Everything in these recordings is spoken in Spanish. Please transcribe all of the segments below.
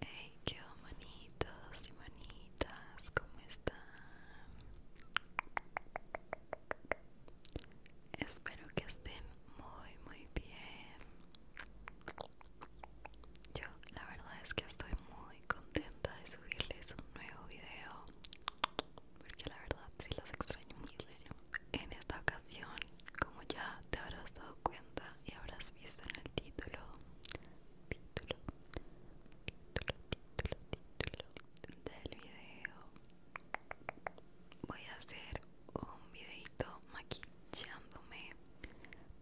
Hey, qué manitos y manitas, ¿cómo están? Espero que estén muy, muy bien. Yo, la verdad es que estoy muy contenta de subirles un nuevo video porque la verdad sí los extraño muchísimo. En esta ocasión, como ya te habrás dado cuenta y habrás visto en el título, título, título, título, título del video, voy a hacer un videito maquillándome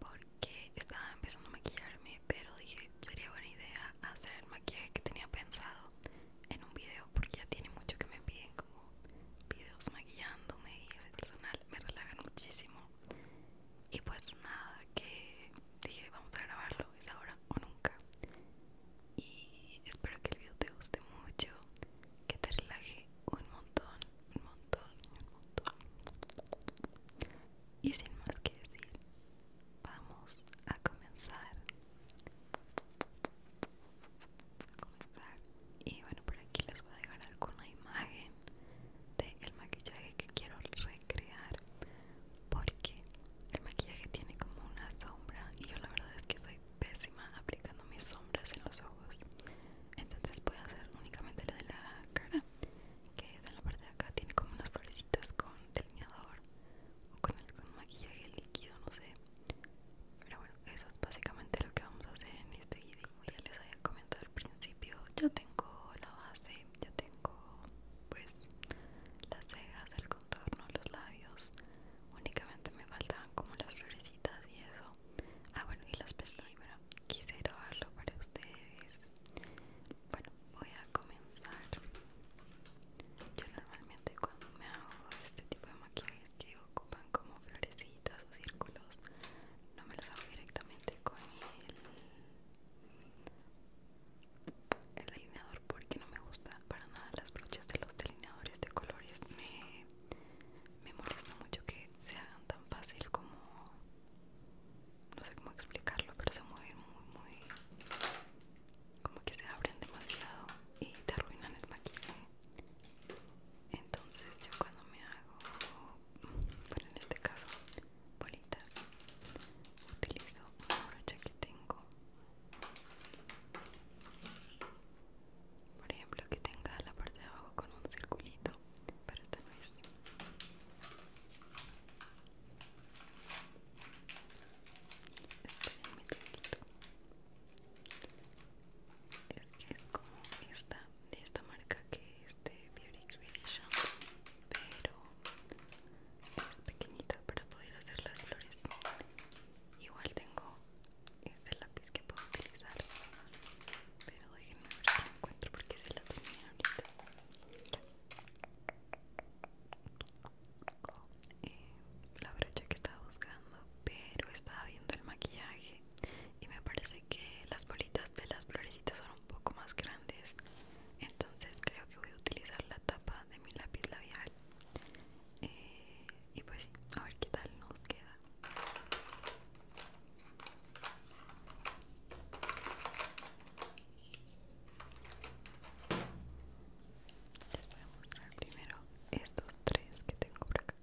porque estaba empezando a maquillarme, pero dije sería buena idea hacer el maquillaje que tenía pensado en un video porque ya tiene mucho que me piden como videos maquillándome y ese personal me relaja muchísimo y pues nada que dije vamos a grabarlo es ahora o nunca y espero que el video te guste mucho que te relaje un montón un montón un montón y sin más que decir vamos a comenzar y bueno por aquí les voy a dejar alguna imagen del el maquillaje que quiero recrear porque el maquillaje tiene como una sombra y yo la verdad es que soy pésima aplicando mis sombras en los ojos entonces voy a hacer únicamente la de la cara que es en la parte de acá tiene como unas florecitas con delineador o con algún maquillaje líquido, no sé. Pero bueno, eso es básicamente lo que vamos a hacer en este vídeo ya les había comentado al principio, ya tengo la base, ya tengo pues las cejas, el contorno, los labios. Únicamente me faltaban como las florecitas y eso. Ah, bueno, y las pestañas. Bueno, quise darlo para ustedes. Bueno, voy a comenzar. Yo normalmente cuando me hago este tipo de maquillaje que ocupan como florecitas o círculos, no me los hago directamente con el, el delineador porque no me gusta para nada las brochas de los delineadores de colores. Me, me molesta mucho que se hagan tan fácil como... no sé cómo explicarlo, pero se mueven muy, muy como que se abren demasiado y te arruinan el maquillaje entonces yo cuando me hago pero en este caso bolitas utilizo una brocha que tengo por ejemplo que tenga la parte de abajo con un circulito pero esta no es un Es que es como esta, de esta marca que es de Beauty Creation pero es pequeñita para poder hacer las flores. Igual tengo este lápiz que puedo utilizar, pero déjenme ver si lo encuentro porque se la tenía ahorita. Eh, la brocha que estaba buscando pero estaba viendo el maquillaje y me parece que las bolitas de las florecitas son un poco más grandes entonces creo que voy a utilizar la tapa de mi lápiz labial eh, y pues sí, a ver qué tal nos queda les voy a mostrar primero estos tres que tengo por acá.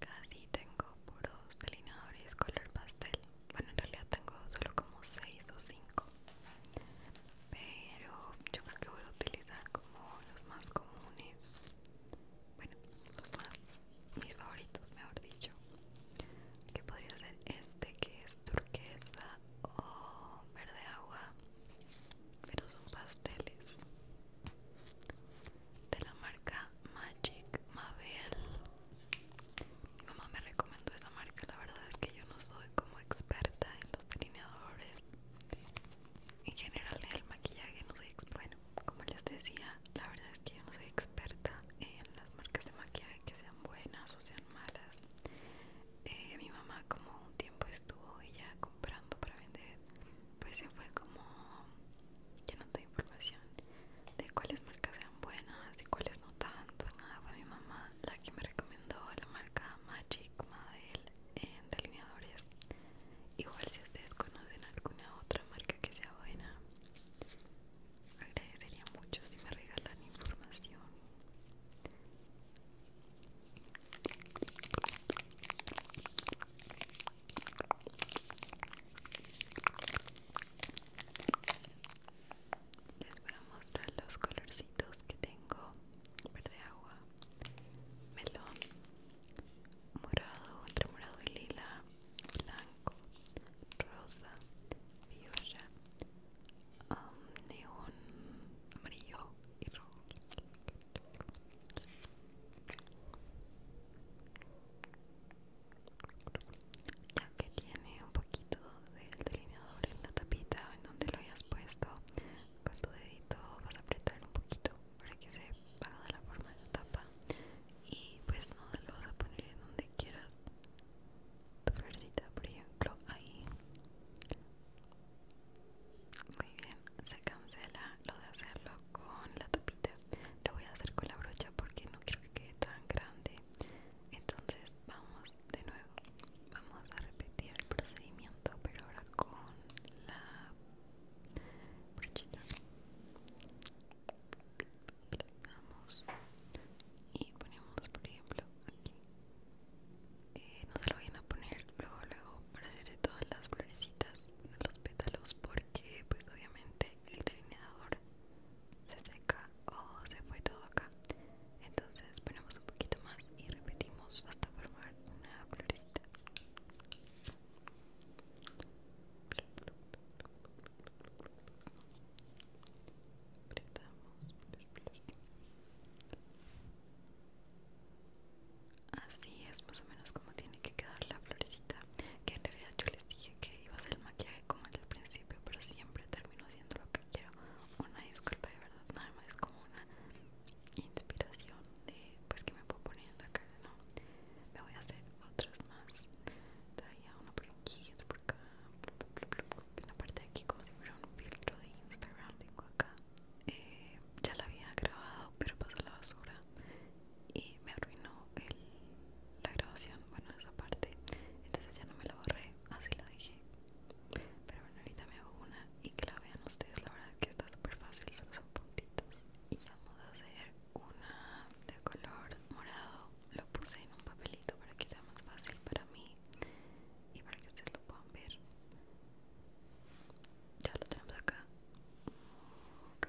Casi tengo puros delineadores color pastel. Bueno, en realidad tengo solo como 6 o 5. Pero yo creo que voy a utilizar como los más comunes. Bueno, los más mis favoritos mejor dicho que podría ser este que es turquesa o verde agua pero son pasteles de la marca Magic Mabel mi mamá me recomendó esta marca la verdad es que yo no soy como experta en los delineadores en general en el maquillaje no soy experta como les decía, la verdad es que yo no soy experta en las marcas de maquillaje que sean buenas o sean malas. Eh, mi mamá como un tiempo estuvo ella comprando para vender, pues se fue como llenando de información de cuáles marcas eran buenas y cuáles no tanto. Pues nada, fue mi mamá la que me recomendó la marca Magic Model en delineadores. Igual si ustedes conocen alguna otra marca que sea buena, Agradecería mucho si me regalan información. Les voy a mostrar los colorcitos que tengo. Verde agua, melón, morado, entre morado y lila, blanco, rosa, viola, um, neón, amarillo y rojo. Ya que tiene un poquito del delineador en la tapita en donde lo hayas puesto, con tu dedito vas a apretar un poquito para que se pagado la forma de la tapa y pues no lo vas a poner en donde quieras tu florcita por ejemplo ahí muy bien se cancela lo de hacerlo con la tapita lo voy a hacer con la brocha porque no quiero que quede tan grande entonces vamos de nuevo vamos a repetir el procedimiento pero ahora con la brochita y ponemos por ejemplo aquí eh, no se lo vayan a poner luego luego para hacer de todas las florecitas los pétalos porque pues obviamente el delineador se seca o se fue todo acá entonces ponemos un poquito más y repetimos hasta formar una florecita así es más o menos como tiene que quedar la florecita que en realidad yo les dije que iba a hacer el maquillaje como el principio pero siempre termino haciendo lo que quiero una disculpa de verdad nada más es como una inspiración de pues que me puedo poner en la cara no me voy a hacer otras más traía una por aquí otra por acá en la parte de aquí como si fuera un filtro de instagram tengo acá eh, ya la había grabado pero pasó la basura y me arruinó la grabación bueno esa parte entonces ya no me la borré así la dejé pero bueno ahorita me hago una y que la vean ustedes la verdad que está súper fácil solo son puntitos y vamos a hacer una de color morado lo puse en un papelito para que sea más fácil para mí y para que ustedes lo puedan ver ya lo tenemos acá ok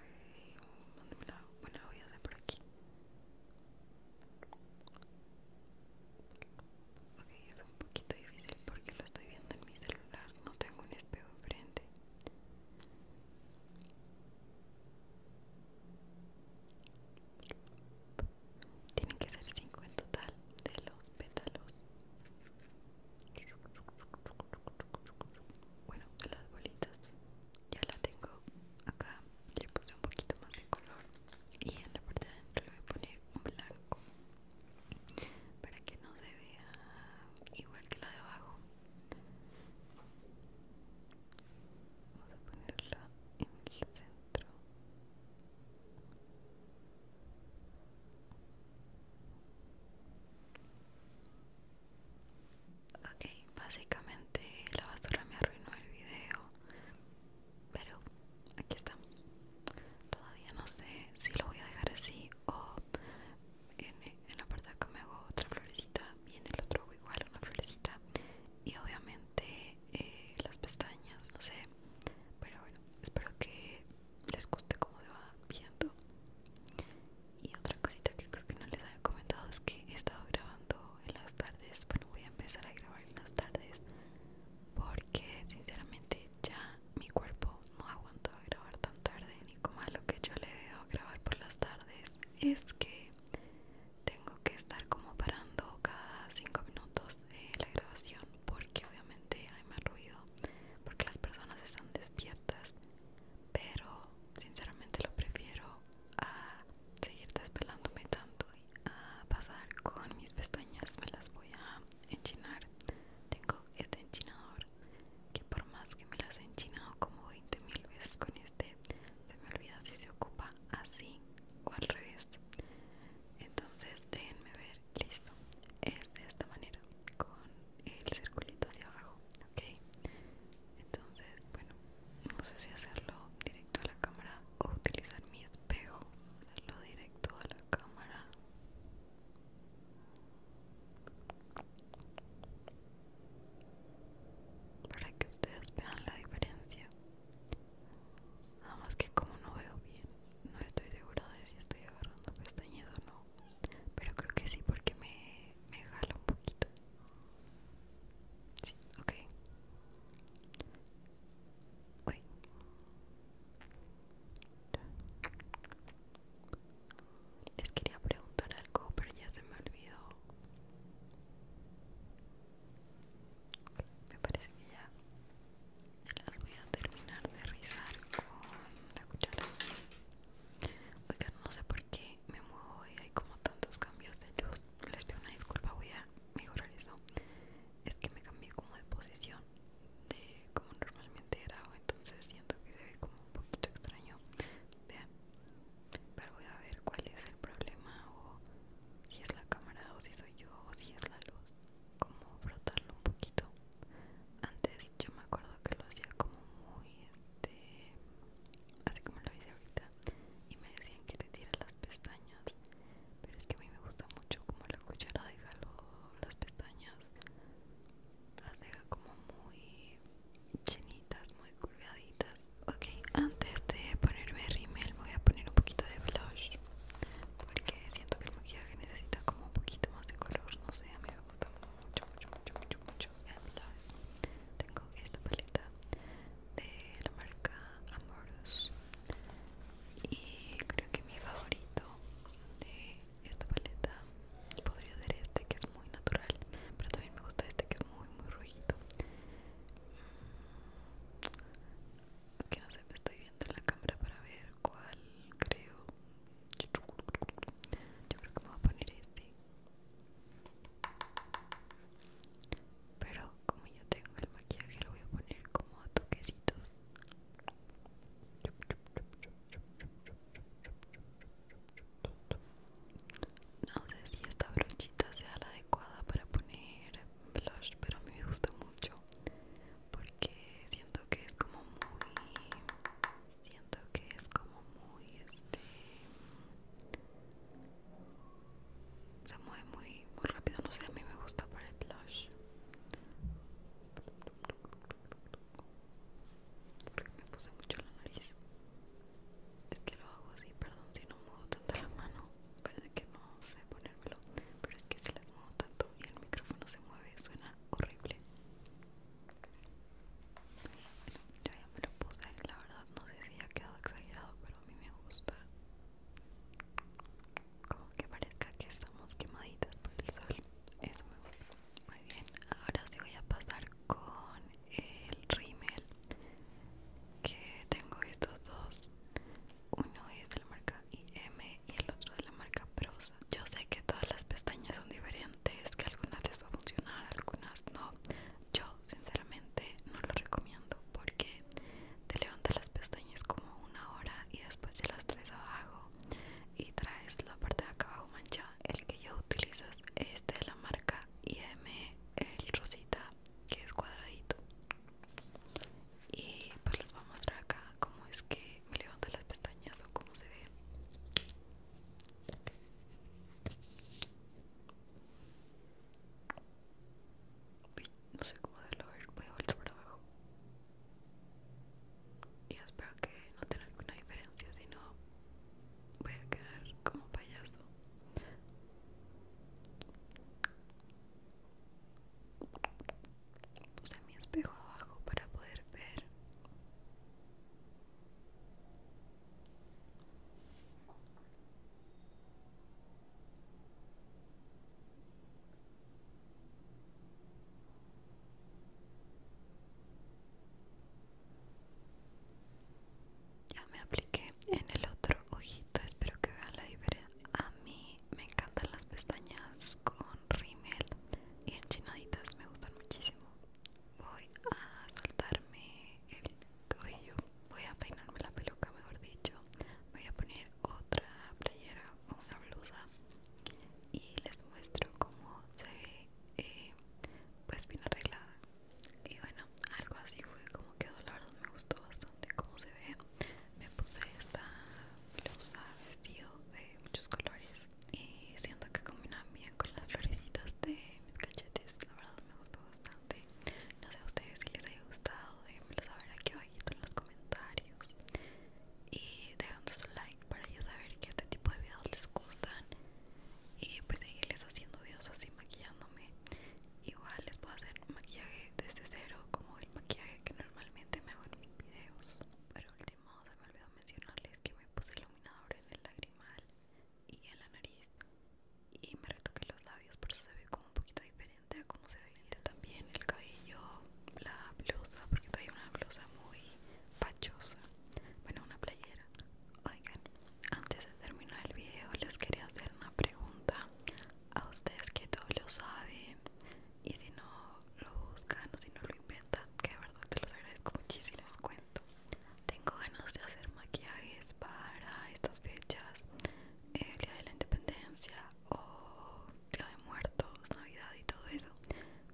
bueno, voy a hacer por aquí ok es un poquito difícil porque lo estoy viendo en mi celular no tengo un espejo enfrente tienen que ser 5 en total de los pétalos. Bueno, de las bolitas. Ya la tengo acá. Le puse un poquito más de color. Y en la parte de adentro le voy a poner un blanco. Para que no se vea igual que la de abajo. Vamos a ponerla en el centro. Ok, básicamente la basura me arruinó el video, pero aquí estamos. Todavía no sé si lo voy a dejar así o en, la parte de acá me hago otra florecita y en el otro igual una florecita y obviamente eh, las pestañas, no sé pero bueno, espero que les guste cómo se va viendo y otra cosita que creo que no les había comentado es que he estado grabando en las tardes bueno, voy a empezar a grabar en las tardes porque sinceramente ya mi cuerpo no aguanta grabar tan tarde como a lo que yo le veo grabar por las tardes es que tengo que estar como parando cada 5 minutos eh, la grabación porque obviamente hay más ruido porque las personas están despiertas pero sinceramente lo prefiero a seguir despelándome tanto y a pasar con mis pestañas me las voy a enchinar tengo este enchinador que por más que me las he enchinado como 20 mil veces con este se me olvida si se ocupa así o al revés entonces déjenme ver listo es de esta manera con el circulito hacia abajo ok entonces bueno no sé si hacerlo directo a la cámara o utilizar mi espejo hacerlo directo a la cámara para que ustedes vean la diferencia nada más que como no veo bien no estoy segura de si estoy agarrando pestañas o no pero creo que sí porque me, me jala un poquito sí ok les quería preguntar algo, pero ya se me olvidó. Me parece que ya las voy a terminar de rizar con la cuchara. Oigan, no sé por qué me muevo y hay como tantos cambios de luz. Les pido una disculpa, voy a mejorar eso. Es que me cambié como de posición de como normalmente o entonces siento que debe como un poquito extraño vean pero voy a ver cuál es el problema o si es la cámara o si soy yo o si es la luz como frotarlo un poquito antes yo me acuerdo que lo hacía como muy este así como lo hice ahorita y me decían que te tiras las pestañas pero es que a mí me gusta mucho como la cuchara deja las pestañas las deja como muy chenitas, muy curvaditas Ok, antes de ponerme rímel voy a poner un poquito de blush porque siento que el maquillaje necesita como un poquito más de color, no sé, a mí me gusta mucho, mucho, mucho, mucho, mucho Tengo esta paleta de la marca Amorous y creo que mi favorito de esta paleta podría ser este que es muy natural pero también me gusta este que es muy muy rojito mm, es que no sé me estoy viendo en la cámara para ver cuál creo yo creo que me voy a poner este pero como yo tengo el maquillaje lo voy a poner como a toquecitos no sé si esta brochita sea la adecuada para poner blush, pero a mí me gusta mucho porque siento que es como muy, siento que es como muy, este, se mueve muy, muy rápido. No sé, a mí me gusta para el blush porque me puse mucho la nariz es que lo hago así, perdón si no muevo tanto la mano parece que no sé ponérmelo pero es que si las muevo tanto y el micrófono se mueve, suena horrible Yo ya, ya me lo puse, la verdad no sé si ha quedado exagerado pero a mí me gusta como que parezca que estamos quemaditas por el sol eso me gusta muy bien, ahora sí voy a pasar con el rímel que tengo estos dos. Uno es de la marca IM y el otro de la marca Prosa. Yo sé que todas las pestañas son diferentes, que algunas les va a funcionar, algunas no. Yo sinceramente no lo recomiendo porque te levantas las pestañas como una hora y después ya las traes abajo y traes la parte de acá abajo manchada el que yo utilizo es este de la marca IM el rosita que es cuadradito y pues les voy a mostrar acá cómo es que me levanto las pestañas o cómo se ve no sé cómo hacerlo, ver, voy a volver para abajo y espero que no tenga alguna diferencia si no voy a quedar como payaso puse mi espejo abajo para poder ver ya me apliqué en el otro ojito, espero que vean la diferencia. A mí me encantan las pestañas con rímel y enchinaditas, me gustan muchísimo. Voy a soltarme el cabello, voy a peinarme la peluca, mejor dicho. Voy a poner otra playera o una blusa y les muestro cómo se ve eh, pues bien arreglada y bueno algo así fue como quedó la verdad me gustó bastante cómo se ve me puse esta blusa vestido de muchos colores y siento que combinan bien con las florecitas de mis cachetes la verdad me gustó bastante no sé a ustedes si les haya gustado déjenmelo saber aquí abajito en los comentarios y dejando su like para ya saber que este tipo de videos les gustan y pues seguirles haciendo videos así maquillándome igual les puedo hacer un maquillaje desde cero como el maquillaje que normalmente me hago en mis videos por último se me olvidó mencionarles que me puse iluminadores en el lagrimal y en la nariz y me retoqué los labios por eso se ve como un poquito diferente a como se veía también el cabello la blusa porque trae una blusa muy pachosa bueno una playera oigan antes de terminar el video les quería hacer una pregunta a ustedes que todos lo saben y si no lo buscan o si no lo inventan que de verdad te los agradezco muchísimo les cuento tengo ganas de hacer maquillajes para estas fechas eh, el día de la independencia o Día de Muertos, Navidad y todo eso.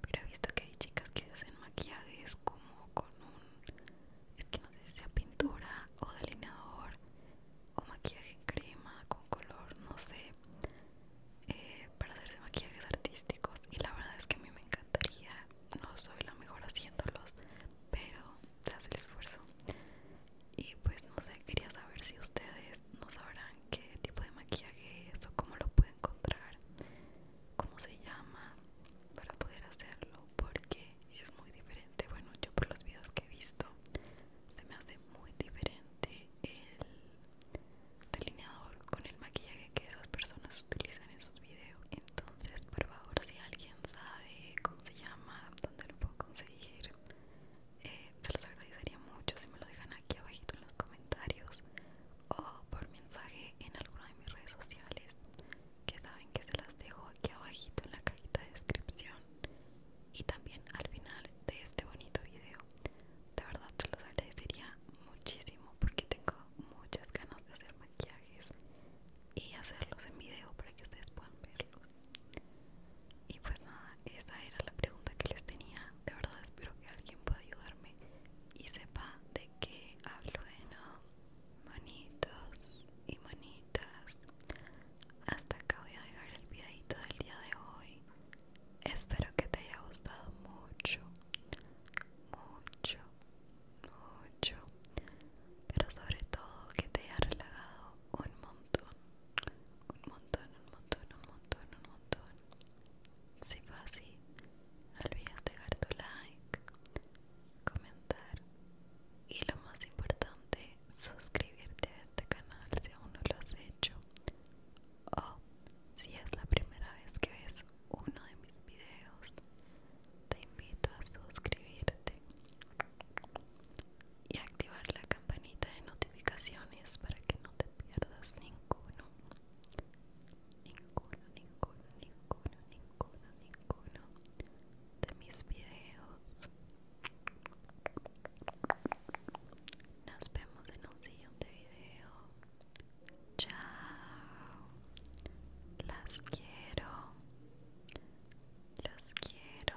Pero he visto que hay chicas que hacen maquillajes como con un. Es que no sé si sea pintura o delineador o maquillaje en crema con color, no sé. Eh, para hacerse maquillajes artísticos. Y la verdad es que a mí me encantaría. No soy la mejor haciéndolos, pero se hace el esfuerzo. Y pues no sé, quería saber si ustedes no sabrán qué tipo de maquillaje es o cómo lo pueden encontrar cómo se llama para poder hacerlo porque es muy diferente bueno yo por los videos que he visto se me hace muy diferente el delineador con el maquillaje que esas personas utilizan en sus videos entonces por favor si alguien sabe cómo se llama dónde lo puedo conseguir eh, se los agradecería mucho si me lo dejan aquí abajito en los comentarios o por mensaje en alguna de mis redes sociales que saben que se las dejo aquí abajito en la cajita de descripción y también al final de este bonito video de verdad te los agradecería muchísimo porque tengo muchas ganas de hacer maquillajes y hacerlos en video para que ustedes puedan verlos y pues nada esa era la pregunta que les tenía de verdad espero que alguien pueda ayudarme y sepa de qué hablo. de no monitos y monitas, hasta acá voy a dejar el videito del día de hoy. Espero que te haya gustado mucho, mucho, mucho, pero sobre todo que te haya relajado un montón, un montón, un montón, un montón, un montón. Si fue así, no olvides dejar tu like, comentar y lo más importante, suscribirte a este canal si aún no lo has hecho o si es la primera vez que ves uno de mis videos, te invito a suscribirte y activar la campanita de notificaciones para que no te pierdas ningún ninguno, ninguno, ninguno, ninguno, ninguno, ninguno de mis videos. Nos vemos en un siguiente video. Chao. Las quiero. las quiero.